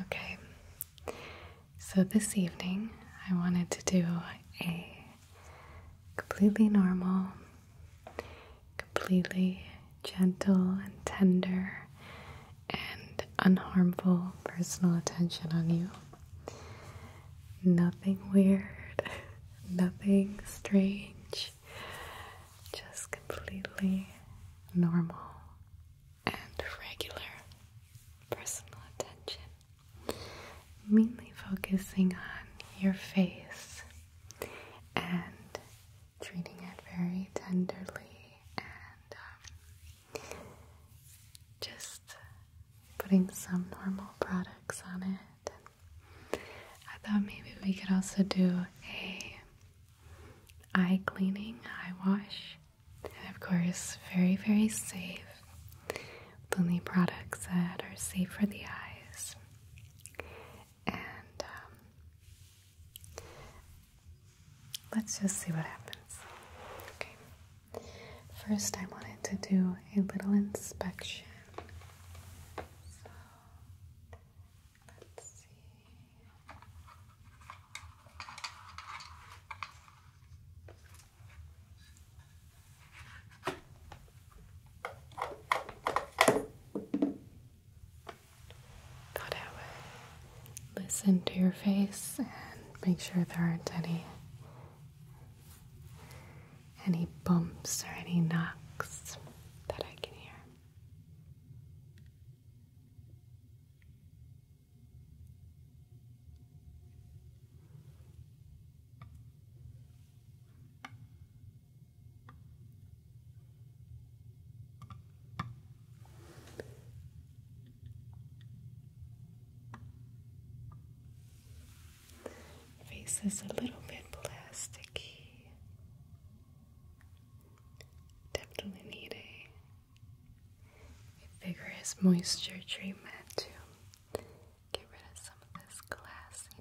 Okay, so this evening I wanted to do a completely normal, completely gentle and tender and unharmful personal attention on you. Nothing weird, nothing strange, just completely normal and regular personal attention, mainly focusing on your face and treating it very tenderly and um, just putting some normal products on it. I thought maybe we could also do a eye cleaning, eye wash, and of course, very, very safe. only products that are safe for the eyes. And um, let's just see what happens. Okay. First, I wanted to do a little inspection. So, let's see. Thought I would listen to your face and make sure there aren't any any bumps or any knocks that I can hear. Face is a little bit plasticky. Definitely need a a vigorous moisture treatment to get rid of some of this glassiness.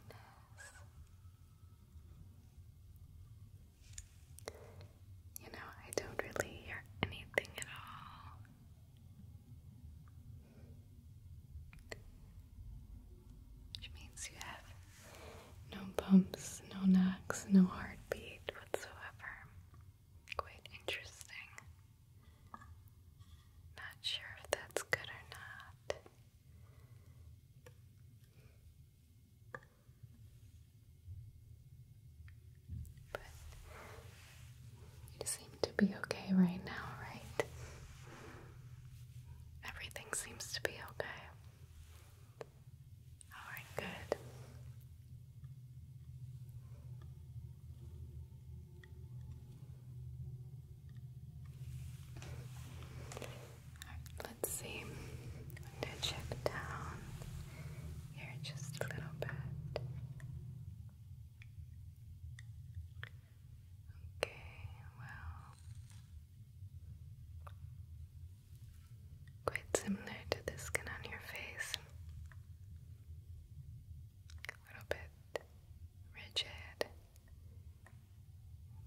You know, I don't really hear anything at all. Which means you have no bumps, no knocks, no heartbeat whatsoever quite interesting. Not sure if that's good or not. But you seem to be okay right now, right? Everything seems to be okay. All right, good. All right, let's see. I'm check down here just a little bit. Okay, well, Quite similar to the skin on your face. A little bit rigid,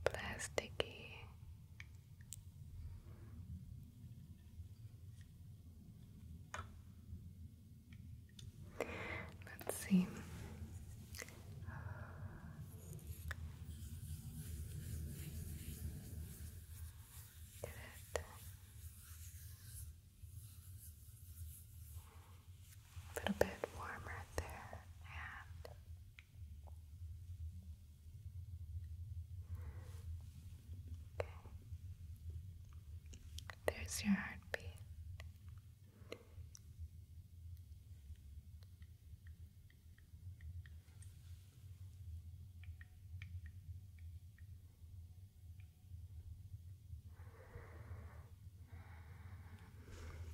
plasticky. Let's see. A little bit warmer there, There's your heartbeat.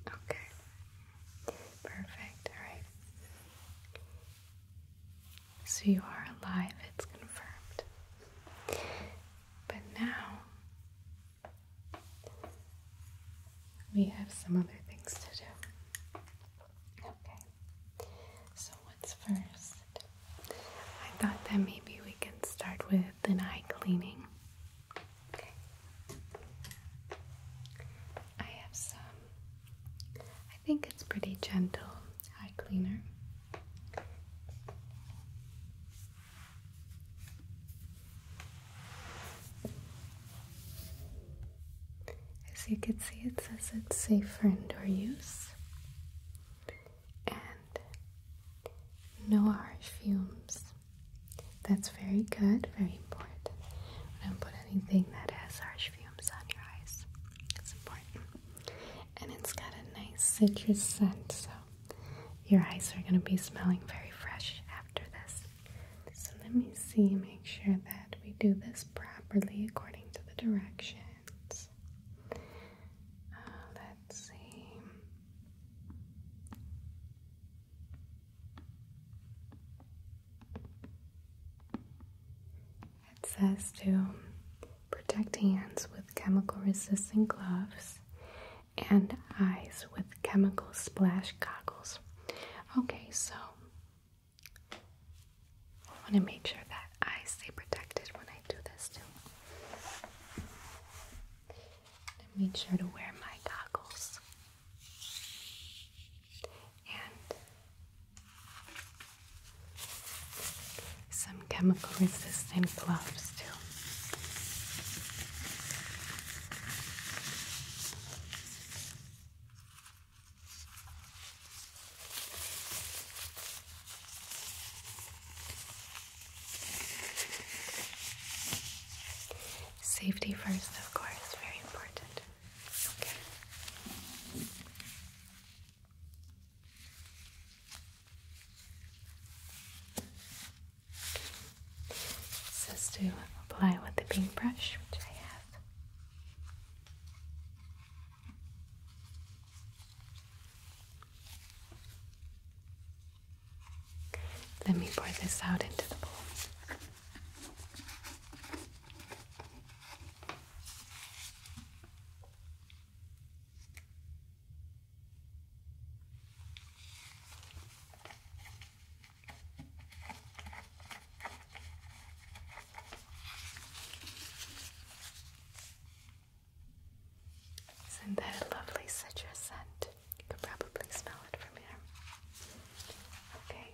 Okay. Perfect. All right. So you are alive, it's confirmed. But now we have some other things to do. Okay, so what's first? I thought that maybe we can start with an eye cleaning. I have some, I think it's pretty gentle eye cleaner. As you can see, it says it's safe for indoor use and no harsh fumes. That's very good, very important. Don't put anything that has harsh fumes on your eyes. It's important. And it's got a nice citrus scent, so your eyes are going to be smelling very fresh after this. So let me see, make sure that we do this properly according to the direction hands. Uh, let's see. It says to protect hands with chemical resistant gloves and eyes with chemical splash goggles. Okay, so I want to make sure that I stay protected when I do this too. And make sure to wear my goggles. And some chemical resistant gloves too. Safety first, of course, very important. Okay. This to apply with the pink which I have. Let me pour this out into the bowl. Isn't that a lovely citrus scent? You could probably smell it from here. Okay.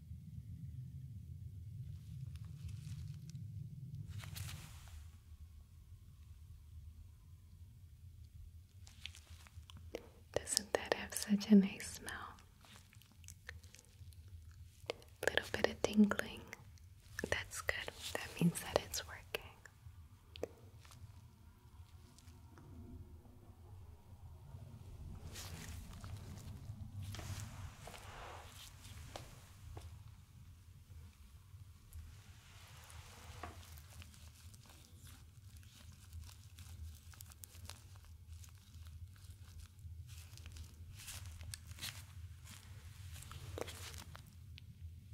doesn't that have such a nice smell? little bit of tingling. That's good. That means that it's working.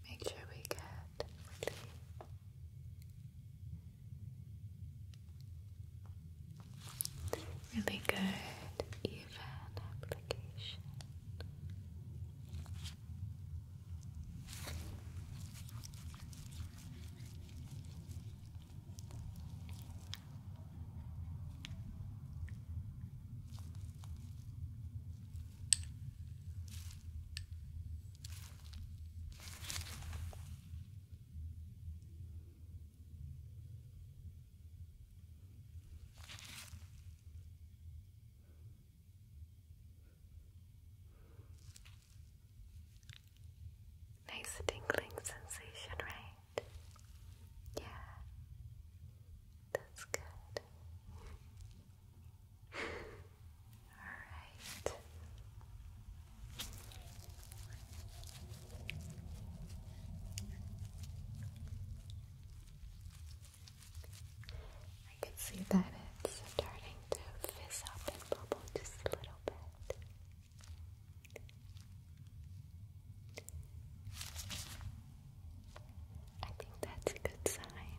Make sure we get Really good, even application. Nice tingling sensation, right? Yeah, that's good. All right see that it's starting to fizz up and bubble just a little bit. I think that's a good sign.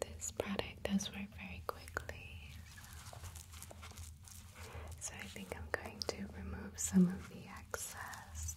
this product does work very quickly. So I think I'm going to remove some of the excess.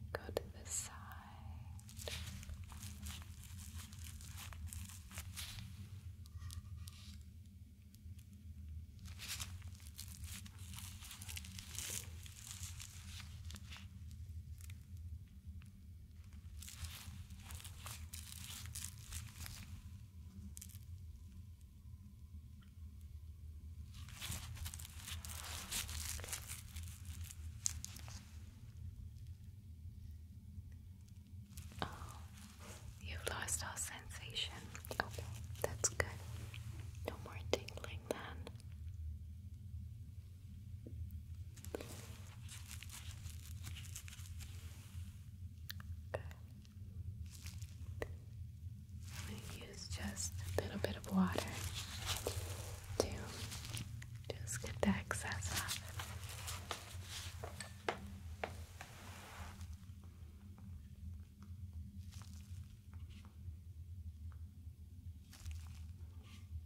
And go to the side you've lost all sensation. Okay, that's good. No more tingling then. I'm use just a little bit of water to just get the excess off.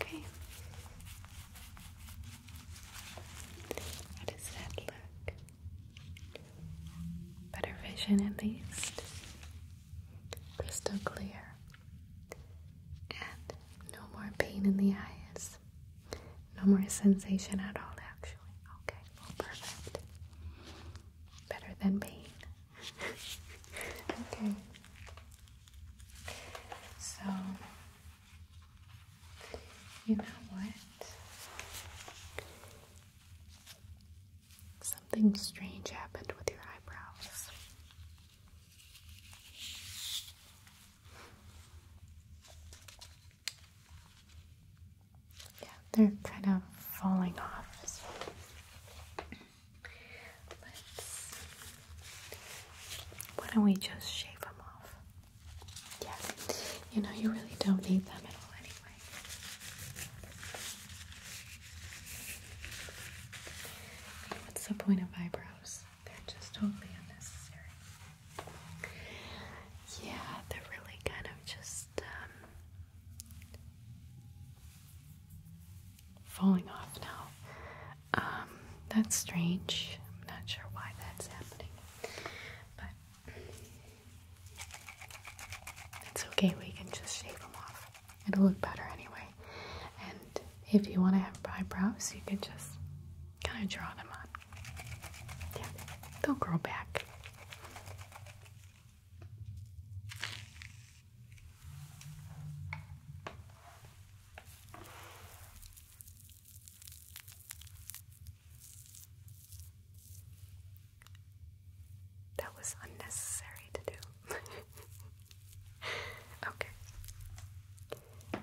Okay. How does that look? Better vision at least. Crystal clear. And no more pain in the eyes. No more sensation at all, actually. Okay, perfect. Better than pain. okay. So, you know what? Something strange happened with your eyebrows. Yeah, they're kind of falling off. Let's. Why don't we just shave them off? Yeah, you know, you really don't need them at all anyway. What's the point of eyebrows? They're just totally unnecessary. Yeah, they're really kind of just um, falling off now. Um, that's strange. I'm not sure why that's happening, but it's okay. We can just shave them off. It'll look better anyway. And if you want to have eyebrows, you can just can I draw them on. Yeah, they'll grow back. That was unnecessary to do. okay. Um,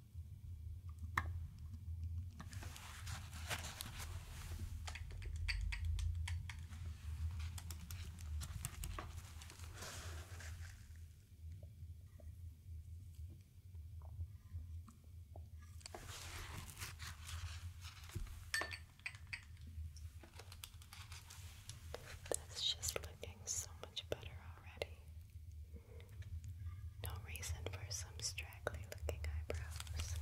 That's just looking so much better already. No reason for some straggly looking eyebrows.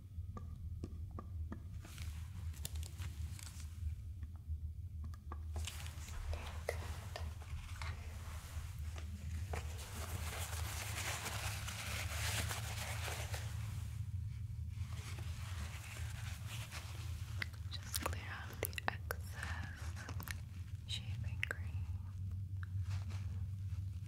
Good. Just clear out the excess shaving cream.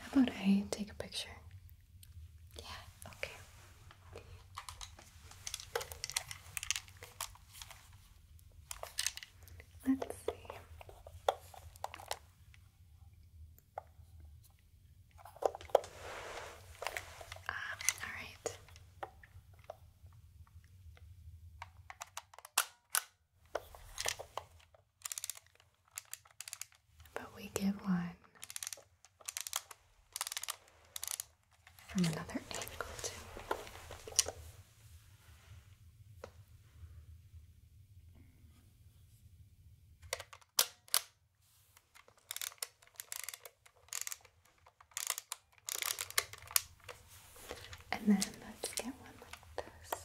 How about I take a picture? Yeah, okay. Let's see. Ah, all right. But we get one from another angle, too. And then let's get one like this.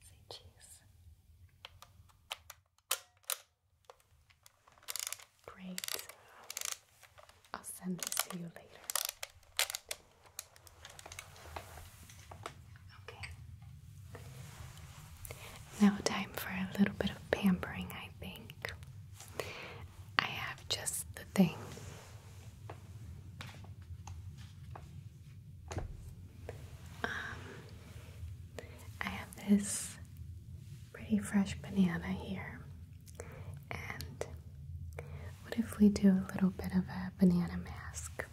Say cheese. Great. I'll send this to you later. Okay. Now, time for a little bit of pampering, I I think I have just the thing. Um, I have this pretty fresh banana here. And what if we do a little bit of a banana mask?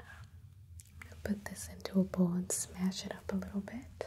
Um, put this into a bowl and smash it up a little bit.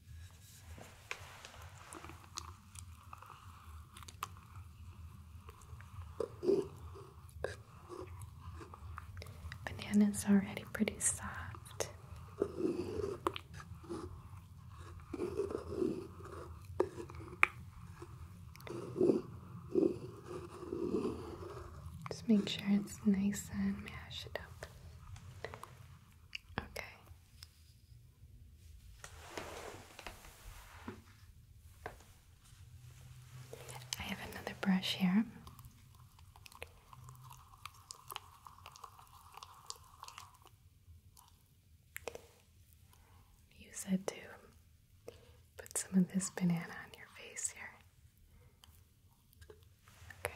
Banana's already pretty soft. Just make sure it's nice and mash it up. Okay, I have another brush here. Use it to put some of this banana on your face here. Okay.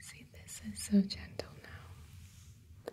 See, this is so gentle now.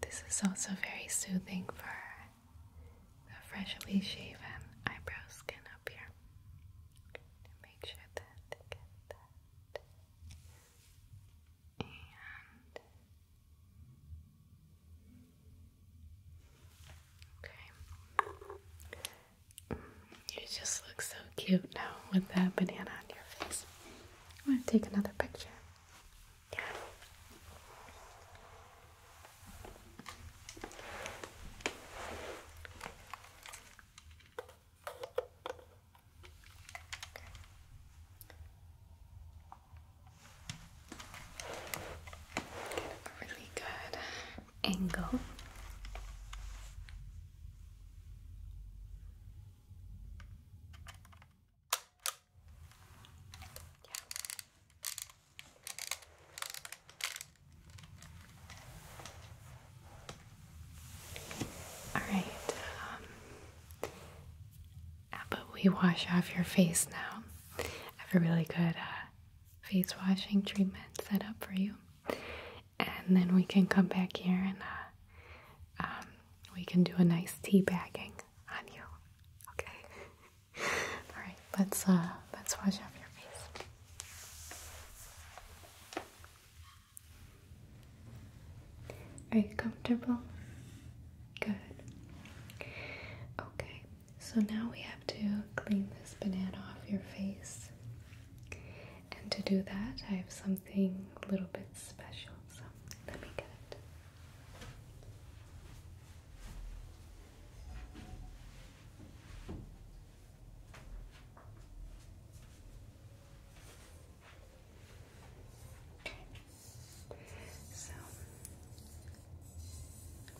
This is also very soothing for the freshly shaven eyebrow skin up here. make sure that they get that. okay. You just look so cute now with that banana on your face. I want to take another picture. really good angle. Yeah. All right. Um, we wash off your face now? I have a really good uh, face washing treatment set up for you and then we can come back here and uh, um, we can do a nice tea bagging on you. Okay. All right. Let's uh, let's wash off your face. Are you comfortable? Good. Okay. So now we have to clean this banana off your face. And to do that, I have something a little bit special. So let me get it. Okay. So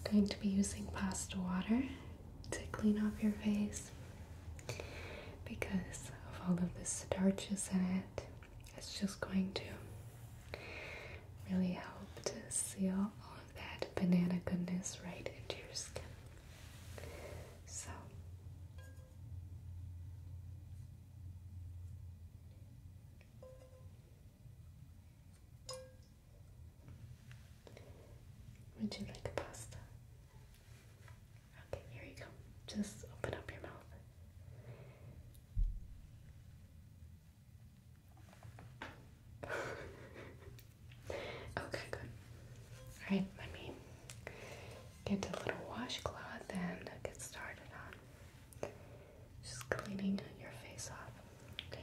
I'm going to be using pasta water to clean off your face because of all of the starches in it. It's just going to really help to seal all of that banana goodness right into your skin. So, would you like a pasta? Okay, here you go. Just open up your mouth. okay, good. Alright, let me get a little washcloth and get started on just cleaning your face off. Okay.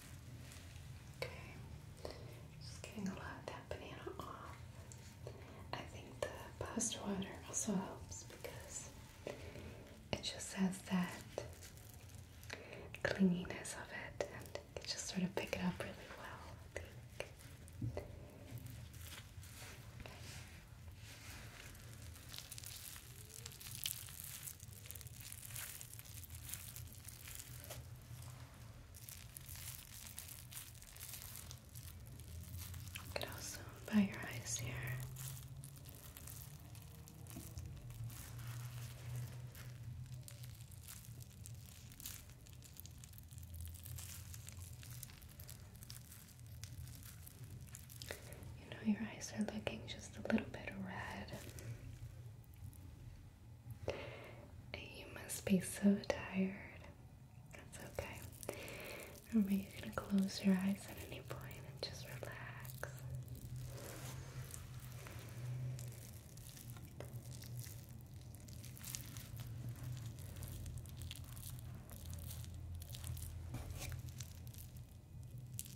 Okay, just getting a lot of that banana off. I think the post water also helps because it just has that clinginess of it and it just sort of pick it up really well, I think. You could also bow your eyes here. You know, your eyes are looking just a little bit red. You must be so tired. That's okay. Remember, you can close your eyes at any point and just relax.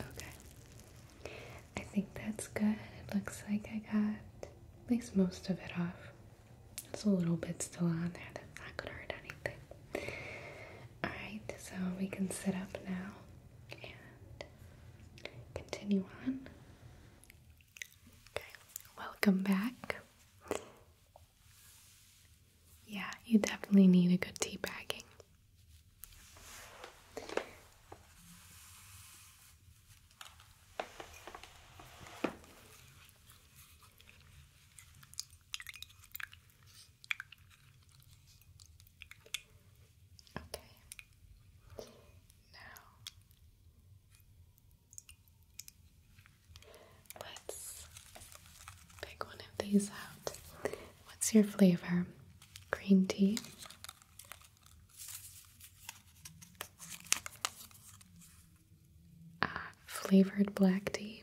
Okay, I think that's good. It looks like I got at least most of it off. There's a little bit still on there that's not gonna hurt anything. Alright, so we can sit up now and continue on. Okay, welcome back. Yeah, you definitely need a good tea bagging. Okay. Now let's pick one of these out. What's your flavor? Green tea. Uh, flavored black tea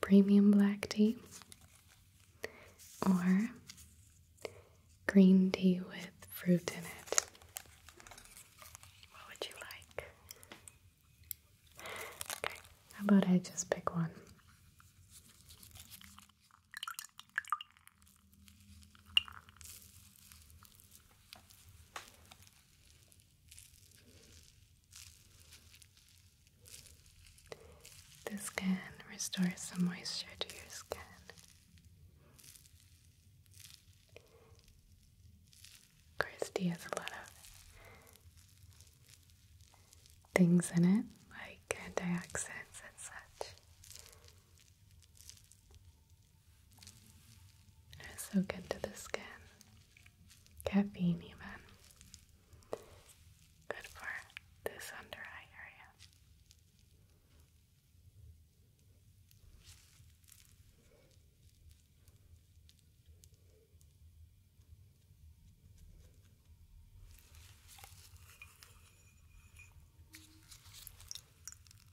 premium black tea or green tea with fruit in it. What would you like? Okay, how about I just pick one? This can restore some moisture to your skin. Christy has a lot of things in it, like antioxidants and such. They're so good to the skin. Caffeine, even. Good for this under eye area.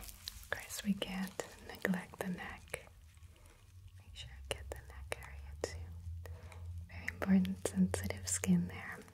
Of course, we can't neglect the neck. Make sure get the neck area too. Very important sensitive skin there.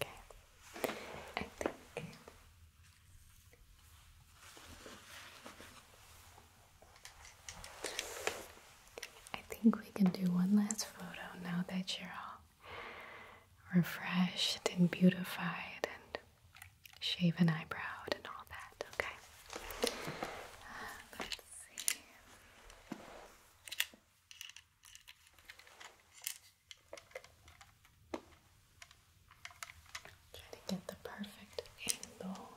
Okay, I think I think we can do one last photo now that you're all refreshed and beautified and shave an eyebrow and all that, okay? Uh, let's see. Try to get the perfect angle.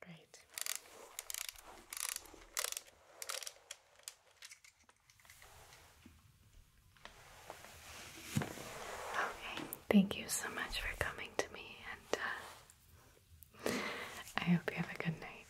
Great. Okay, thank you so much for coming to me, and uh, I hope you have a good night.